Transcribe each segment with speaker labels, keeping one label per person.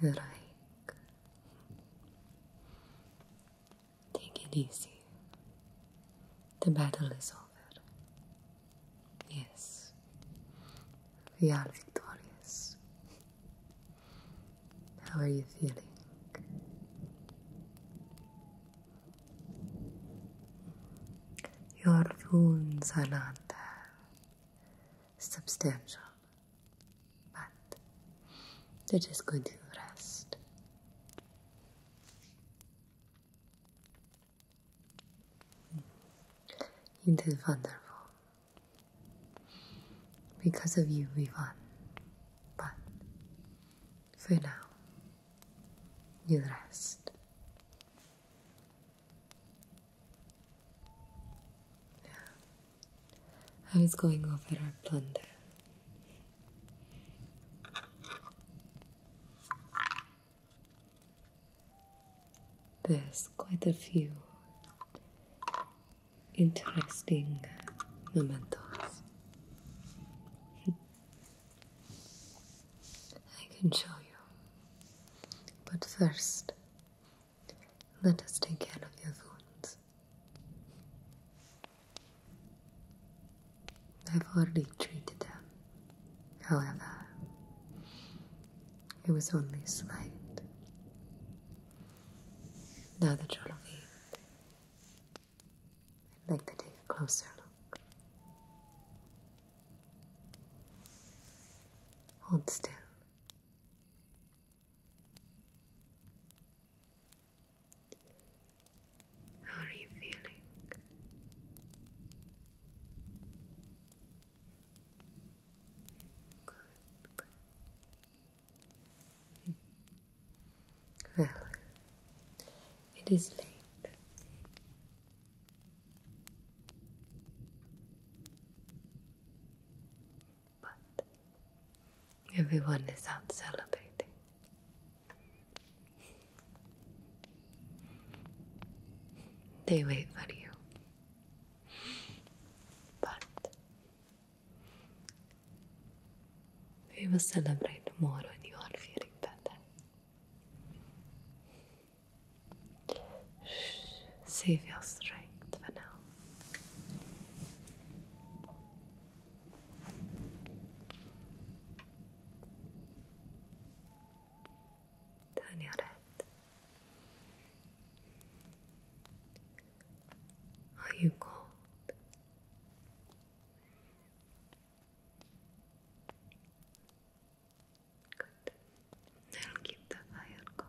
Speaker 1: You like. Take it easy. The battle is over. Yes, we are victorious. How are you feeling? Your wounds are not substantial, but they're just going to rest. You did wonderful. Because of you, we won. But for now, you rest. I was going over our plunder. There's quite a few interesting mementos. I can show you. But first, let us take care of your wounds. I've already treated them. However, it was only slight. Now that you're looking, I'd like to take a closer look. Hold still.
Speaker 2: How are you feeling? Well,
Speaker 1: it is late. But everyone is out celebrating. They wait for you. But we will celebrate tomorrow, when you are feeling better. Save your strength for now. Turn your head. Are you cold? Good. I'll keep the fire going.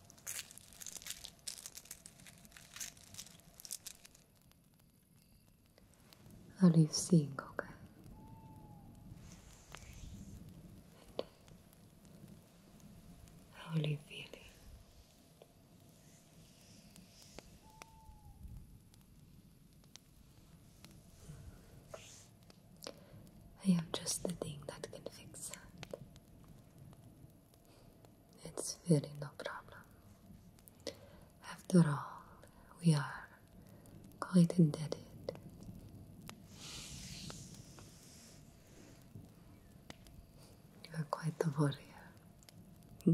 Speaker 1: 어립스인 거가 How are you feeling? I am just the thing that can fix that. It's really no problem. After all, we are quite indebted. You are quite the warrior. Hmm?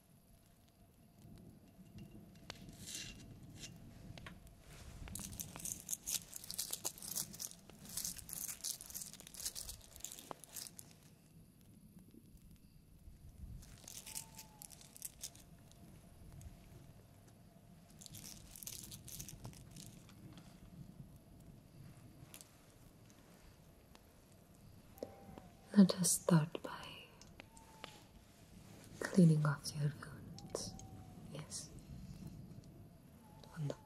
Speaker 1: Let us start by cleaning off your wounds. Yes. Wonderful.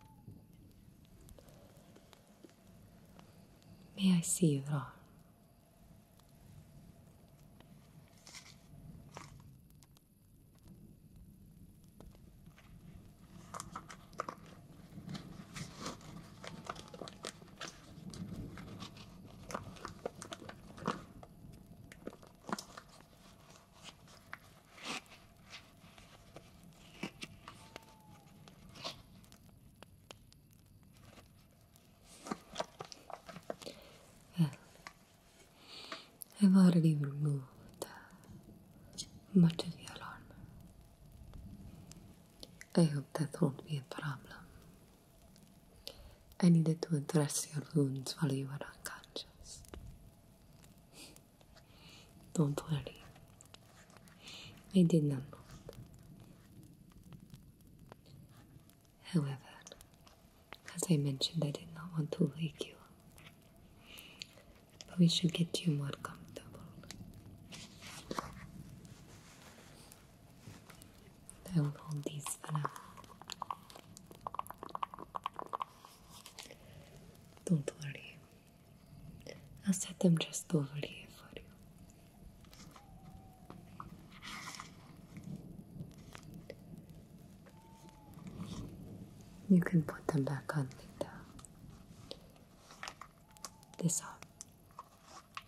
Speaker 1: May I see it arm? I've already removed uh, much of the alarm. I hope that won't be a problem. I needed to address your wounds while you were unconscious. Don't worry, I did not However, as I mentioned, I did not want to wake you But we should get you more comfortable. I will hold these for now. Don't worry. I'll set them just over here for you. You can put them back on later. This arm.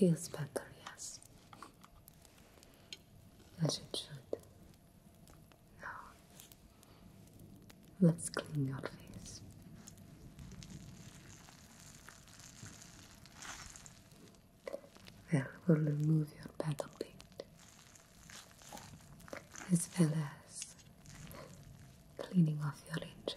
Speaker 1: It feels better, yes. As it should. Now, let's clean your face. There, we'll remove your battle paint as well as cleaning off your ledger.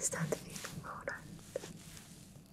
Speaker 1: Start feeling all right.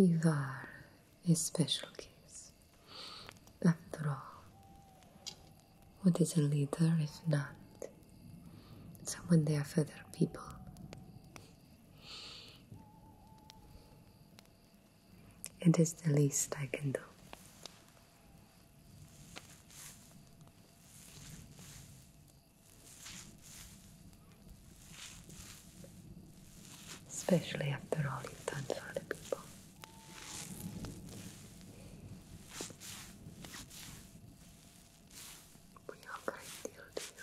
Speaker 1: You are a special case. After all, what is a leader if not someone there for other people? It is the least I can do. Especially after all you've done for the people. We are a deal to you.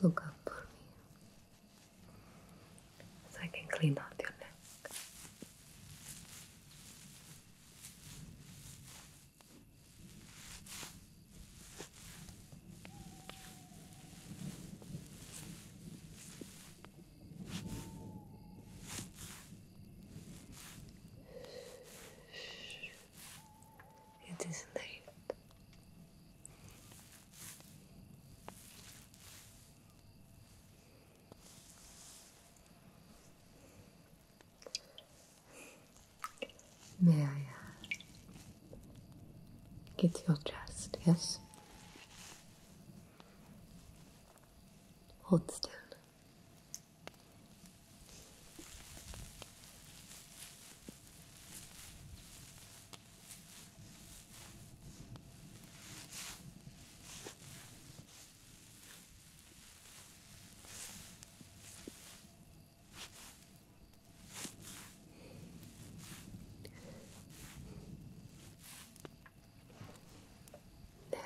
Speaker 1: Look up for me so I can clean out your neck. It is late. May I uh, get to your chest, yes? Hold still.
Speaker 2: There.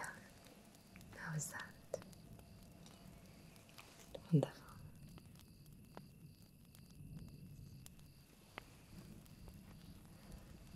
Speaker 2: How is that?
Speaker 1: Wonderful.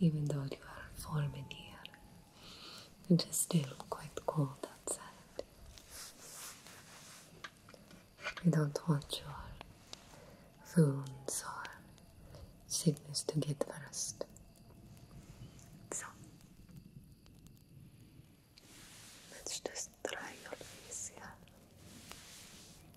Speaker 1: Even though you are warm in here, it is still quite cold outside. We don't want your wounds or sickness to get worse. So, let's just dry your face here.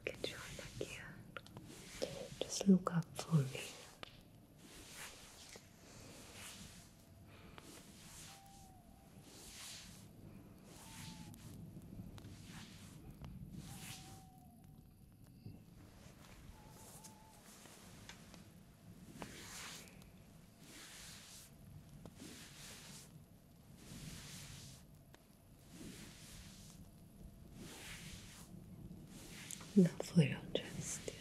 Speaker 1: Look at your neck Just look up for me for your undress, dear.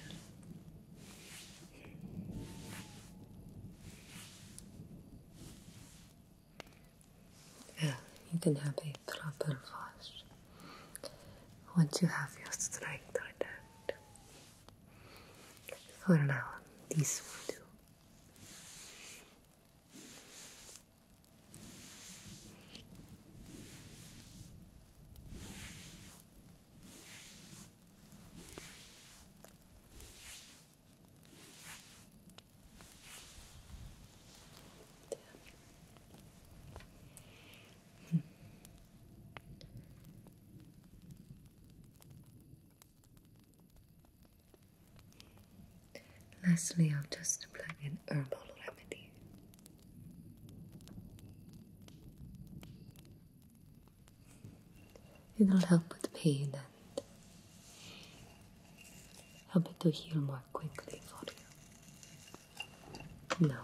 Speaker 1: Yeah, you can have a proper wash once you have your strength returned. I don't for now, this will do. Lastly, I'll just apply an herbal remedy. It'll help with pain and help it to heal more quickly for you. Now,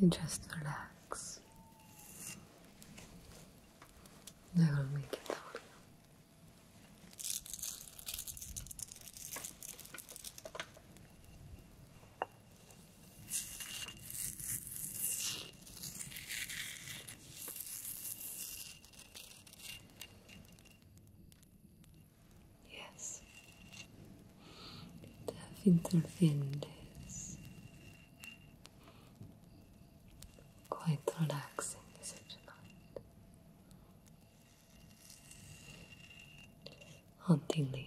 Speaker 1: You just relax. I will make it for you. Yes. Te interfiendes. Quite relaxing, is not it Hauntingly.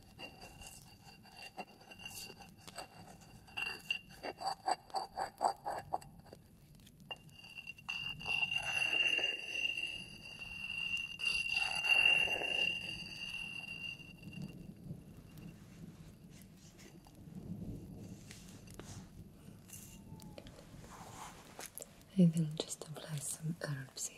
Speaker 1: I will just apply some herbs here.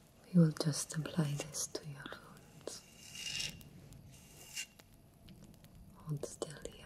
Speaker 1: We will just apply this to your wounds. Hold still here.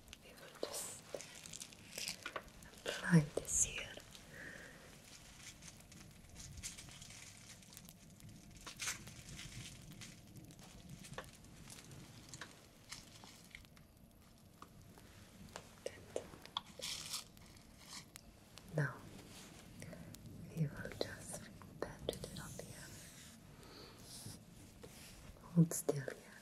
Speaker 1: we will just apply this here. now we will just pat it up here. Hold still here.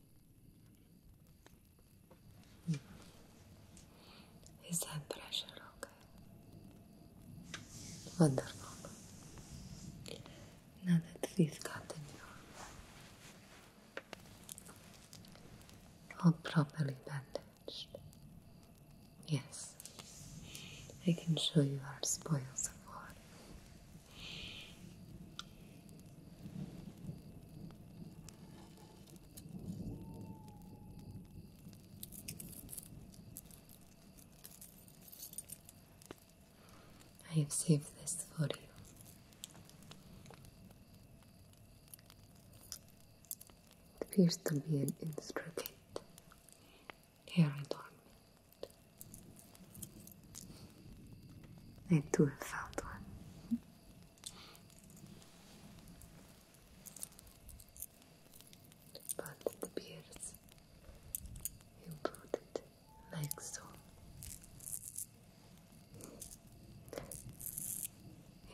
Speaker 1: Is that pressure okay? Wonderful. Now that we've gotten you all properly bandaged, yes, I can show you our spoils of war. I have saved this for you. It appears to be an instrument hair adornment. I too have found one. But it appears you brought it next home.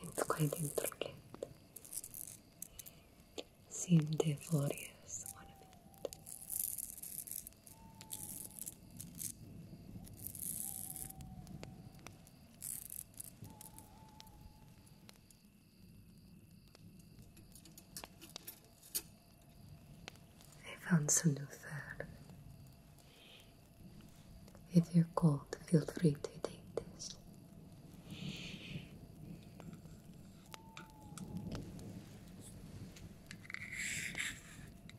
Speaker 1: It's quite intricate. Seemed the glorious ornament. I found some new fur. If you're cold, feel free to take this.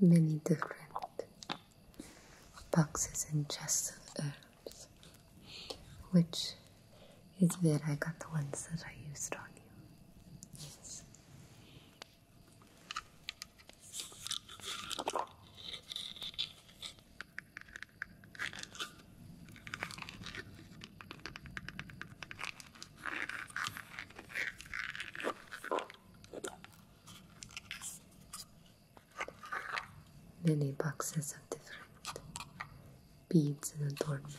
Speaker 1: many different boxes and chests of herbs, which is where I got the ones that I used on you. Yes. Many boxes of different beads and adornments.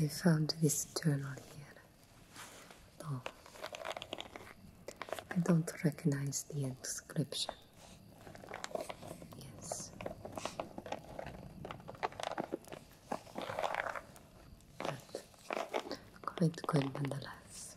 Speaker 1: I found this journal here. No, oh. I don't recognize the inscription. Yes. But quite good nonetheless.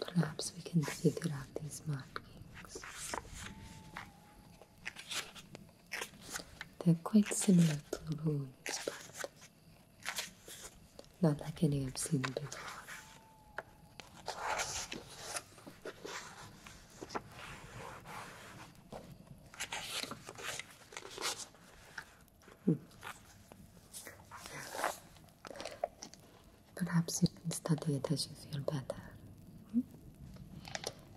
Speaker 1: Perhaps we can figure out these markings. They're quite similar to runes, but not like any I've seen before. Perhaps you can study it as you feel better. Hmm?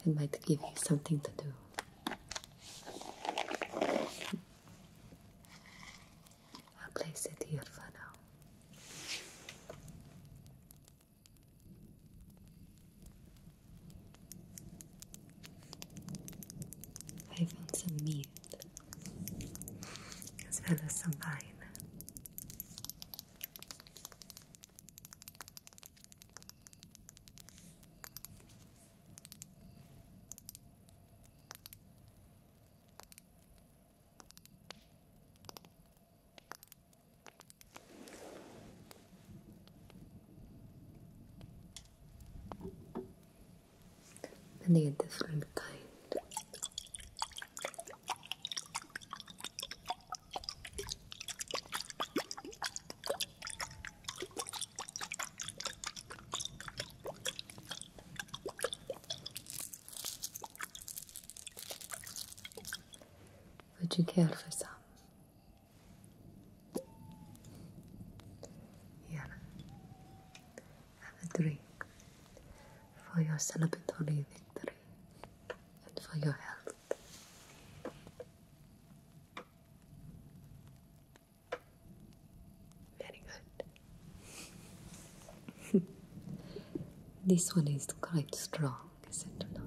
Speaker 1: It might give you something to do. Hmm? I'll place it here for now. I found some meat as well as some wine. Then they a different kind. Would you care for some? Yeah. Have a drink for your celebratory victory and for your health. Very good. this one is quite strong, is it not?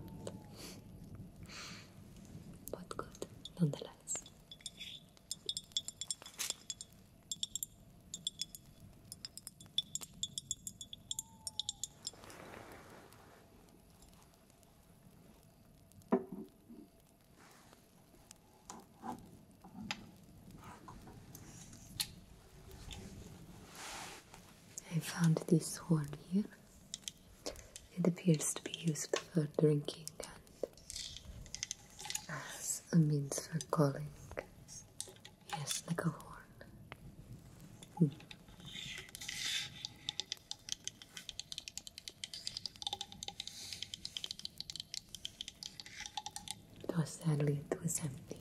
Speaker 1: But good, nonetheless. I found this one here. It appears to be used for drinking and uh, a means for calling. Yes, like a horn. Hmm. Though sadly, was empty.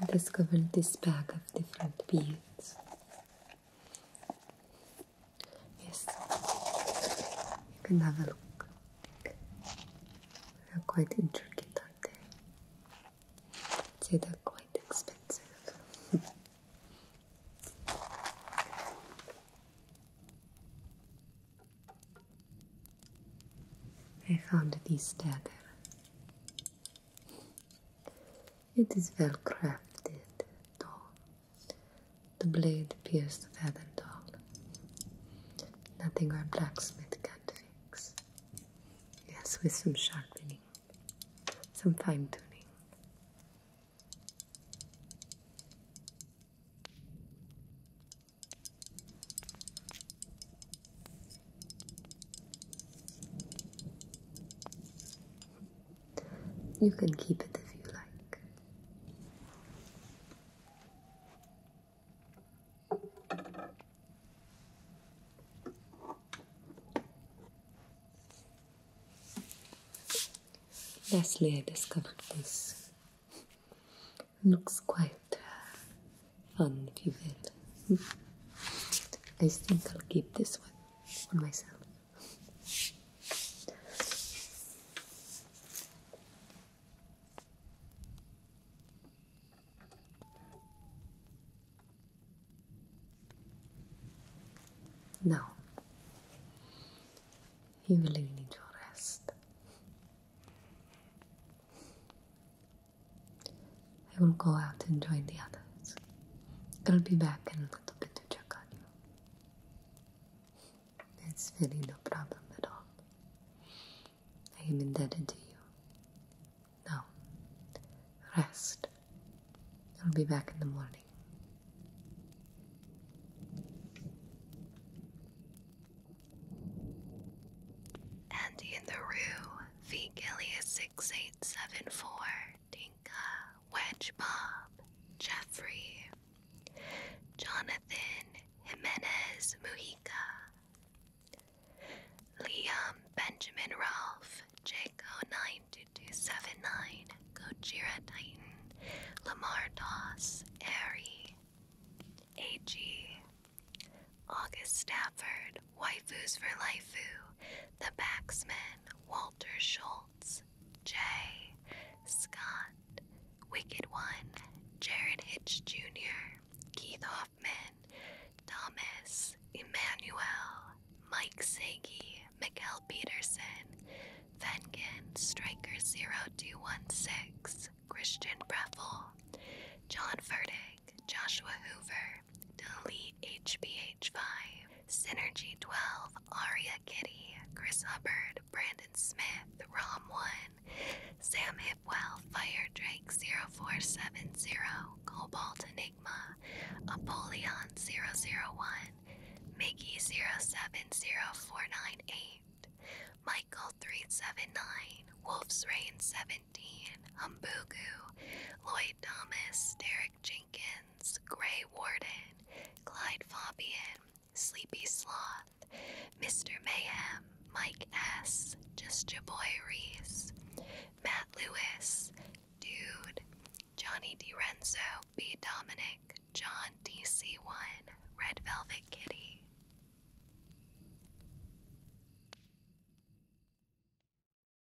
Speaker 1: I discovered this bag of different beads. Yes, you can have a look. They're quite intricate, aren't they? i they're quite expensive. I found these there. It is well crafted doll. The blade pierced the feathered doll. Nothing our blacksmith can fix. Yes, with some sharpening, some fine tuning. You can keep it if you like. Lastly, I discovered this. Looks quite uh, fun, if you will. Hmm. I think I'll keep this one on myself. Now, you really need your rest. I will go out and join the others. I'll be back in a little bit to check on you. It's really no problem at all. I am indebted to you. Now, rest. I'll be back in the morning.
Speaker 2: And in the rue, V. 6874 Dinka, Wedge Bob, Jeffrey, Jonathan Jimenez Mujica, Liam Benjamin Ralph, Jaco92279, Gojira Titan, Lamar Doss, Ari, AG, August Stafford, Waifus for Laifu, The backsman Walter Schultz, Jay, Scott, Wicked One, Jared Hitch Jr., Keith Hoffman, Thomas, Emmanuel, Mike Sagi, Mikkel Peterson, Venkin, Striker 0216, Christian Breffel, John Ferding, Joshua Hoover, Delete HBH5, Synergy 12, Aria Kitty, Chris Hubbard, Brandon Smith, Rom1, Sam Hipwell, Fire Drake 0470, Cobalt Enigma, Apollyon 001, Mickey 070498, Michael 379, Wolf's Rain 17, Humbugu, Lloyd Thomas, Derek Jenkins, Gray Warden, Clyde Fabian, Sleepy Sloth, Mr. Mayhem, Mike S., Just Your Boy Reese, Matt Lewis, Dude, Johnny DiRenzo, B. Dominic, John DC1, Red Velvet Kitty.